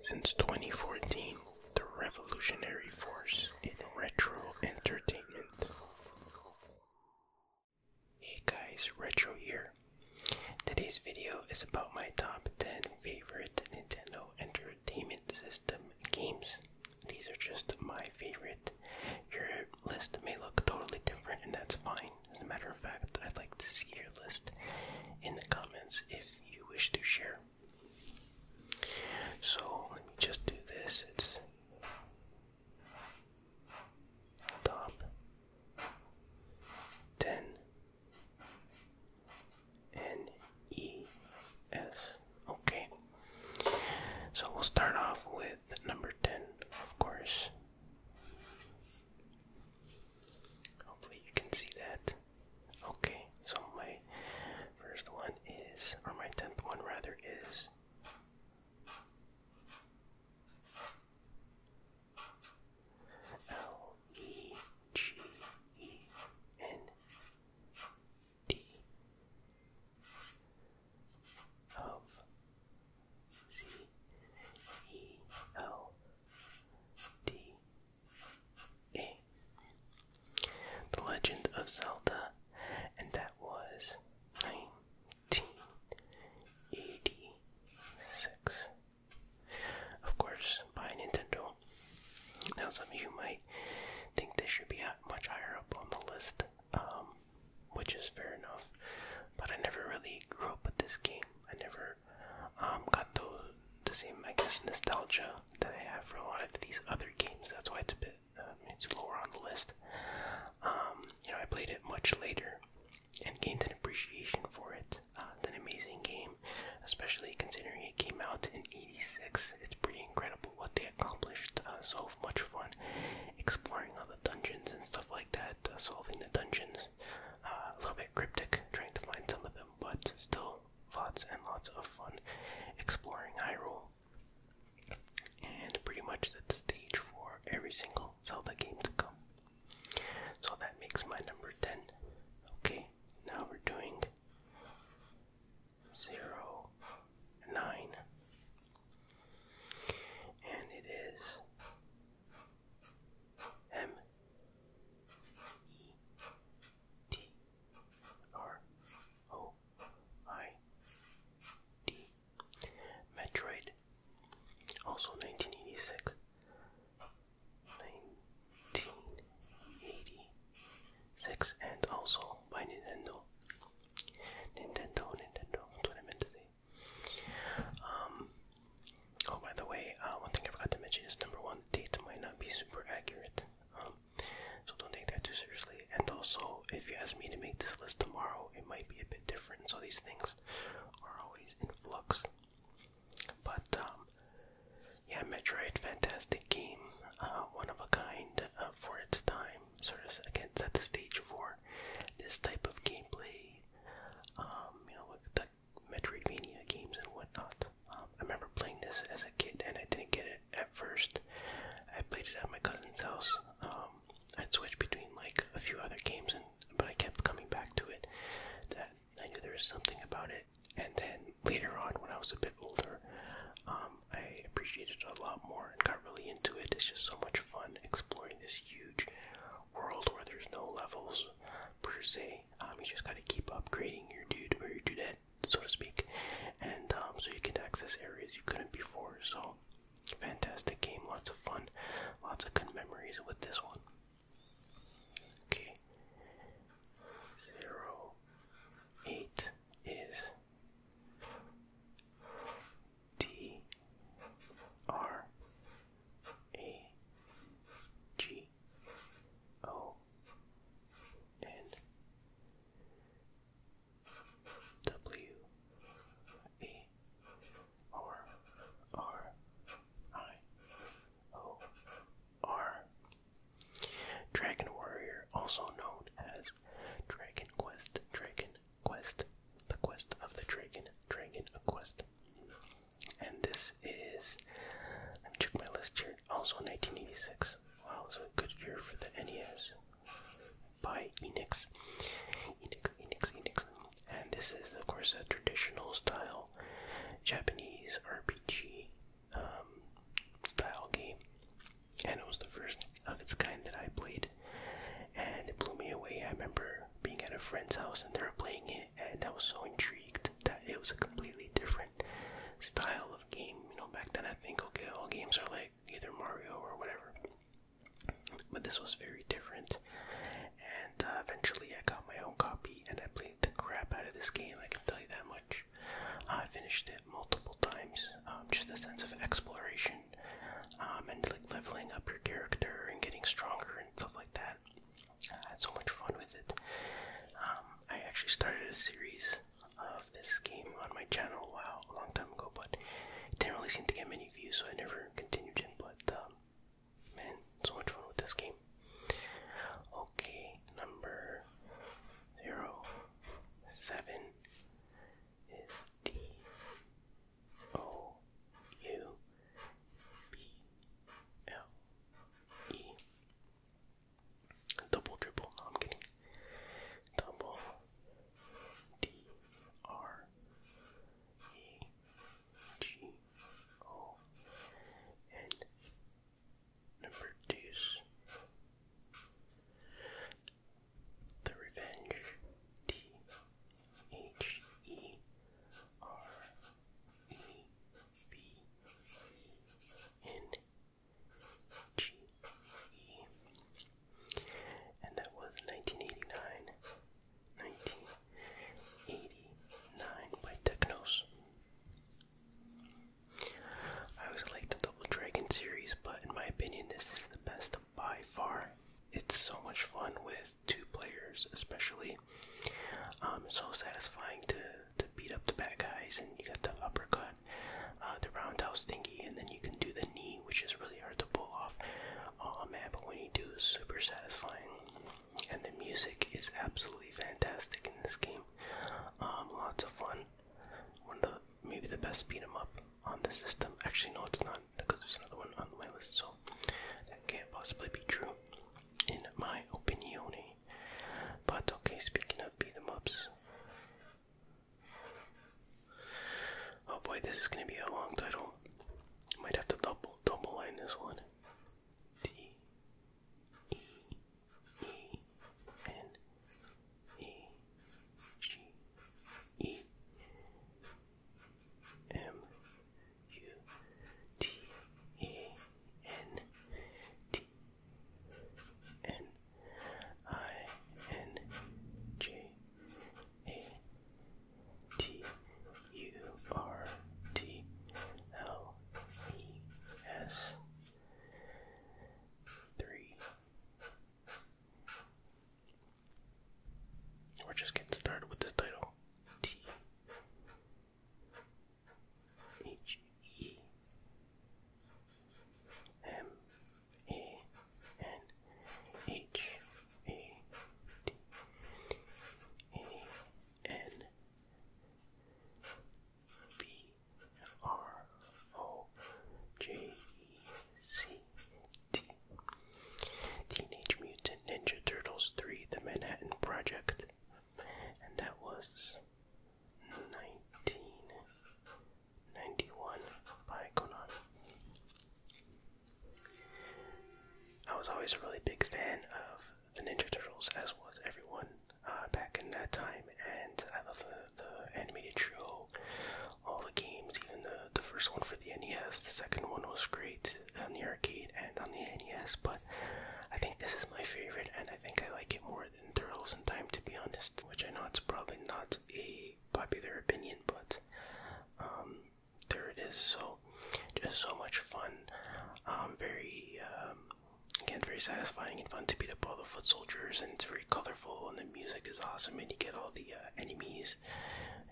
Since 2014, the revolutionary force in retro entertainment. Hey guys, Retro here. Today's video is about my top 10 favorite Nintendo Entertainment System games. These are just my favorite. Your list may look totally different, and that's fine. As a matter of fact, I'd like to see your list in the comments if you wish to share. So let me just do this. It's top ten N E S. Okay. So we'll start off with number ten, of course. Hopefully you can see that. Okay, so my first one is, or my tenth one rather, is. L E G E N D the Legend of Zelda, and that was 1986. Of course, by Nintendo. Now, some of you might think this should be much higher up on the list, um, which is fair enough, but I never really grew up with this game. I never um, got the, same, I guess, nostalgia that I have for a lot of these other games. That's why it's a bit, uh, it's lower on the list. Um, you know, I played it much later and gained an appreciation for it. it's uh, an amazing game, especially considering it came out in '86. It's pretty incredible what they accomplished. Uh, so much fun exploring all the dungeons and stuff like that, solving the dungeons. a little bit cryptic, trying to find some of them but still lots and lots of fun exploring Hyrule. And pretty much the stage for every single Zelda game to come. So that makes my number 10. Okay, now we're doing 0, 9. And it is M E T R O I D. Metroid, also 1986, and also by Nintendo. Nintendo, Nintendo, that's Um, Oh, by the way, uh, one thing I forgot to mention is number one, date might not be super accurate, um, so don't take that too seriously. And also, if you ask me to make this list tomorrow, it might be a bit different. So these things are always in flux. But um, yeah, Metroid, fantastic game, uh, one of a kind uh, for its time. Sort of again set the stage for this type of gameplay. Um, you know, with the Metroidvania games and whatnot. Um, I remember playing this as a kid and I didn't get it at first. I played it at my cousin's house. Um, I'd switch between like a few other games, and but I kept coming back to it. That I knew there was something about it. And then later on, when I was a bit older, um, I appreciated it a lot more and got really into it. It's just so much fun exploring this huge world where there's no levels per se. Um, you just gotta keep upgrading your dude or your dudette, so to speak, and um, so you can access areas you couldn't before. So, fantastic game, lots of fun, lots of good memories with this one. Okay, zero eight is D R A G T O N W E R R I O R Dragon Warrior, also known as Dragon Quest, Dragon Quest, the quest of the dragon, Dragon Quest, and this is, let me check my list here, also 1986. Wow, it was a good year for the NES by Enix. Enix, Enix, Enix. And this is, of course, a traditional style Japanese RPG um, style game. And it was the first of its kind that I played. And it blew me away. I remember being at a friend's house and they were playing it, it, and I was so intrigued that it was a completely different style of game. You know, back then I think okay, all games are like either Mario or whatever, but this was very different. And uh, eventually, I got my own copy, and I played the crap out of this game. I can tell you that much. Uh, I finished it multiple times. Um, just the sense of exploration um, and like leveling up your character and getting stronger and stuff like that. I had so much fun with it. Um, I actually started a series of this game on my channel wow, a long time ago, but it didn't really seem to get many views, so I never continued it. But um, man, so much fun with this game. Okay, number zero seven is D O U B L E. Double triple. No, i Double D R E G O and The Revenge T H E R B N G E. And that was 1989, 1989 by Technos. I always liked the Double Dragon series, but in my opinion, this is the best by far. It's so much fun with two players especially. Um, so satisfying to to beat up the bad guys, and you got the uppercut, uh, the roundhouse thingy, and then you can do the knee, which is really hard to pull off. Oh man, but when you do, super satisfying. And the music is absolutely fantastic in this game. Um, lots of fun. One of the maybe the best beat 'em up on the system. Actually, no, it's not because there's another one on my list, so that can't possibly be true in my opinion. But okay, speaking of beat 'em ups. Oh boy, this is gonna be a long title. Might have to double double line this one. T E E N E G E M U T A N T N I N J A T U R T L E S three. We're just getting started with this title. T H E M A N H A T A N B R O J E C T Teenage Mutant Ninja Turtles 3 The Manhattan Project. And that was 1991 by Konami. I was always a really big fan of the Ninja Turtles, as was everyone uh, back in that time, and I love the, the animated show, all the games, even the, the first one for the NES, the second one was great, on the arcade and on the NES, but I think this is my favorite, and I think I like it more than Turtles in Time, to be honest. Which I know it's probably not a popular opinion, but um, there it is. So, just so much fun. Um, very, um, again, very satisfying and fun to beat up all the foot soldiers, and it's very colorful, and the music is awesome, and you get all the uh, enemies.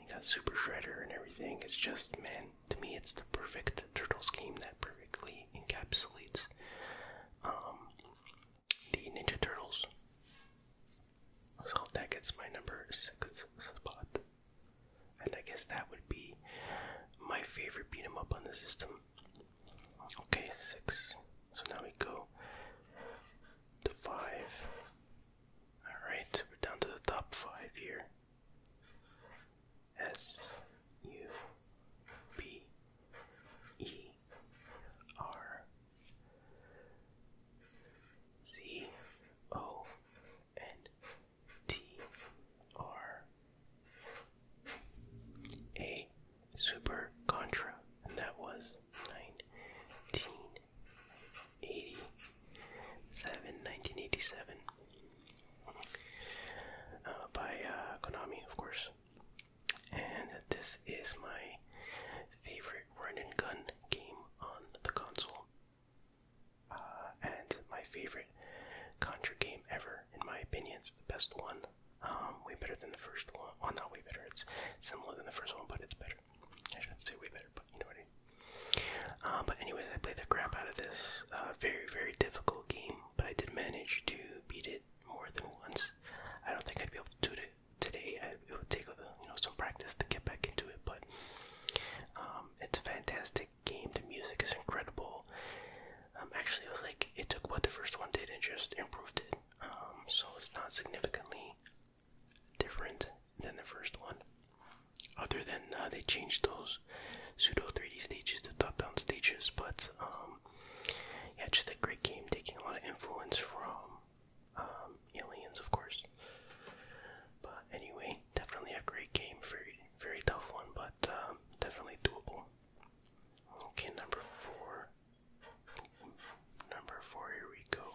You got Super Shredder and everything. It's just, man, to me, it's the perfect Turtles game that perfectly encapsulates um, the Ninja Turtles. So that gets my number six spot. And I guess that would be my favorite beat 'em up on the system. Okay, six. So now we go to five. Alright, we're down to the top five here. S U B E R Z O N T R A Super Contra, and that was nineteen 1987 uh, by uh, Konami, of course. And this is my favorite run and gun game on the console. Uh, and my favorite Contra game ever, in my opinion. It's the best one. Um, way better than the first one. Well, not way better. It's similar than the first one, but it's better. I shouldn't say way better, but you know what I mean. Uh, but anyways, I played the crap out of this uh, very, very difficult game, but I did manage to beat it more than once. I don't think I'd be able to do it today. it would take uh, you know some practice to get back into it, but um, it's a fantastic game. The music is incredible. Um, actually, it was like it took what the first one did and just improved it. Um, so it's not significantly different than the first one other than they changed those pseudo 3D stages to top-down stages, but um, yeah, just a great game, taking a lot of influence from um, Aliens, of course. But anyway, definitely a great game, very very tough one, but um, definitely doable. Okay, number four. Number four, here we go.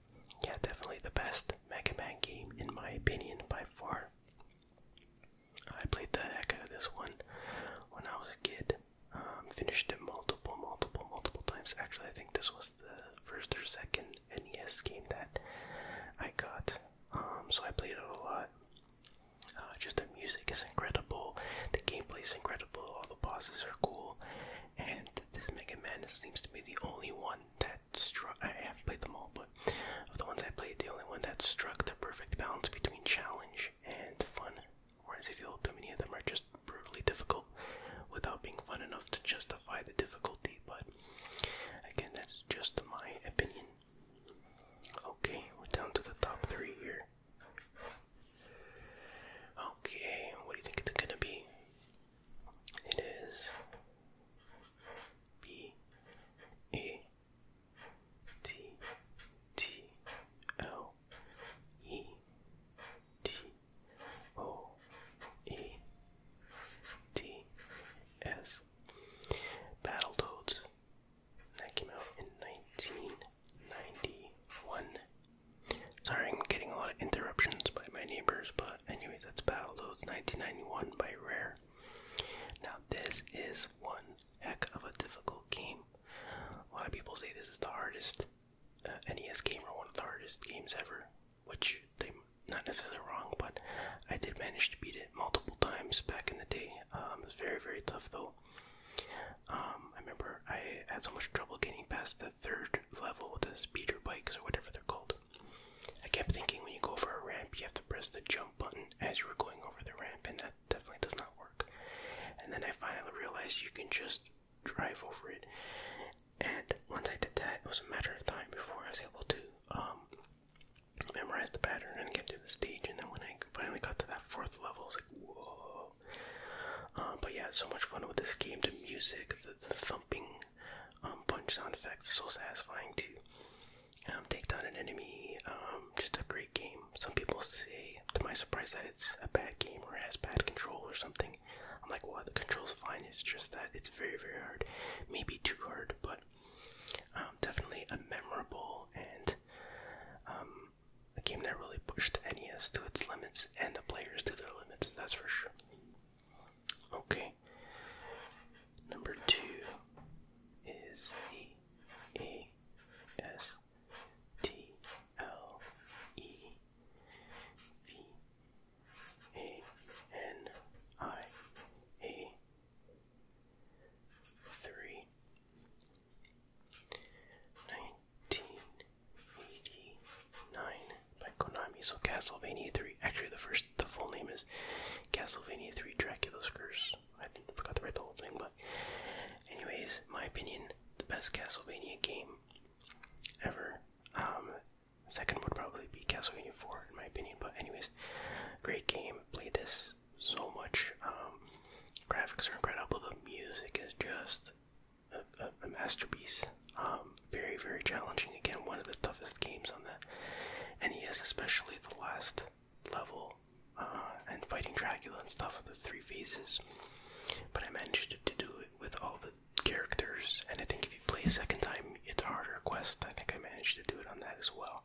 yeah, definitely the best Mega Man game in my opinion by far. I played the heck out of this one when I was a kid. Um, finished it multiple, multiple, multiple times. Actually, I think this was the first or second NES game that I got. Um, so I played it a lot. Uh, just the music is incredible, the gameplay is incredible, all the bosses are cool, and this Mega Madness seems to be the only one that struck. I haven't played them all, but of the ones I played, the only one that struck the perfect balance between challenge and fun. Whereas if you feel too many of them are just brutally difficult without being fun enough to justify the difficulty. But again, that's just my opinion. Okay, we're down to the top three here. Okay, what do you think it's gonna be? It is B A T T L E T O E T S Battletoads that came out in nineteen ninety one Sorry, I'm getting a lot of interruptions by my neighbors, but anyway, that's Battletoads 1991 by Rare. Now, this is one heck of a difficult game. A lot of people say this is the hardest uh, NES game or one of the hardest games ever, which they not necessarily wrong, but I did manage to beat it multiple times back in the day. Um, it was very, very tough though. Um, I remember I had so much trouble getting past the third level, the speeder bikes or whatever they're called. I kept thinking when you go over a ramp, you have to press the jump button as you were going over the ramp, and that definitely does not work. And then I finally realized you can just drive over it. And once I did that, it was a matter of time before I was able to um, memorize the pattern and get to the stage. And then when I finally got to that fourth level, I was like, whoa. Um, but yeah, so much fun with this game. The music, the, thumping um, punch sound effects, so satisfying to um, take down an enemy, just a great game. Some people say, to my surprise, that it's a bad game or has bad control or something. I'm like, well, the control's fine, it's just that it's very, very hard. Maybe too hard, but definitely a memorable and a game that really pushed NES to its limits and the players to their limits, that's for sure. Okay. Number two is the A S T L E V A N I A three. Nine 1989 by Konami. So Castlevania 3. Actually, the first, the full name is Castlevania 3: Dracula's Curse. I forgot to write the whole thing, but anyways, my opinion, the best Castlevania game ever. Um, second would probably be Castlevania 4, in my opinion. But anyways, great game. Played this so much. Um, graphics are incredible. The music is just a, masterpiece. Um, very, very challenging. Again, one of the toughest games on the NES, especially the last level uh, and fighting Dracula and stuff with the three phases. But I managed to, to do it with all the characters, and I think if you play a second time, it's a harder quest. I think I managed to do it on that as well.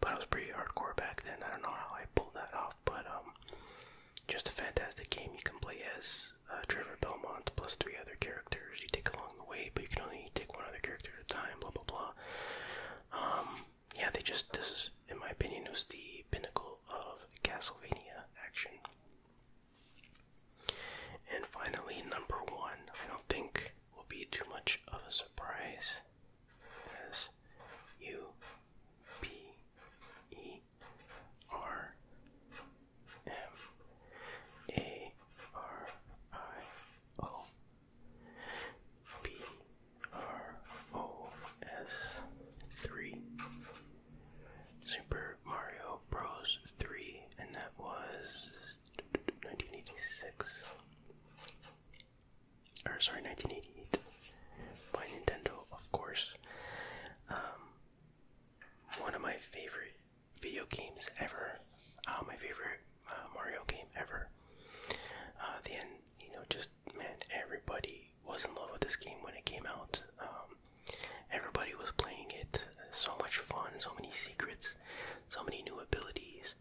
But I was pretty hardcore back then. I don't know how I pulled that off, but um, just a fantastic game. You can play as uh, Trevor Belmont plus three other characters you take along the way, but you can only take one other character at a time. Blah blah blah. Um, yeah, they just this is, in my opinion, was the pinnacle of Castlevania action. And finally, number one. I don't think will be too much of a surprise. S U P E R M A R I O B R O S three Super Mario Bros. three, and that was 1986 or sorry 1988 by Nintendo of course um one of my favorite video games ever. Uh, my favorite uh, Mario game ever. Uh, then you know, just man, everybody was in love with this game when it came out. Um, everybody was playing it. So much fun, so many secrets, so many new abilities.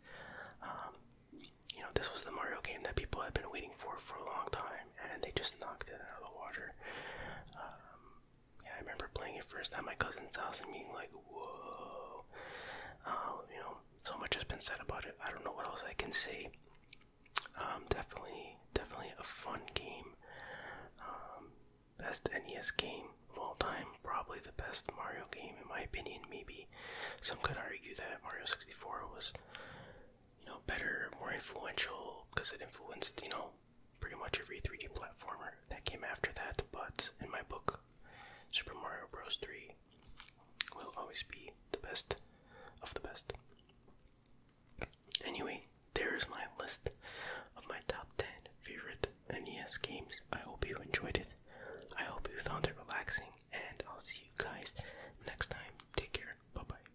Um, you know, this was the Mario game that people had been waiting for for a long time and they just knocked it out of the water. Um, I remember playing it first at my cousin's house and being like, "Whoa!" Uh, you know, so much has been said about it. I don't know what else I can say. Um, definitely, definitely a fun game. Um, best NES game of all time. Probably the best Mario game in my opinion. Maybe some could argue that Mario 64 was, you know, better, more influential because it influenced, you know, pretty much every 3D platformer that came after that, but in my book, Super Mario Bros. 3 will always be the best of the best. Anyway, there is my list of my top 10 favorite NES games. I hope you enjoyed it. I hope you found it relaxing, and I'll see you guys next time. Take care. Bye bye.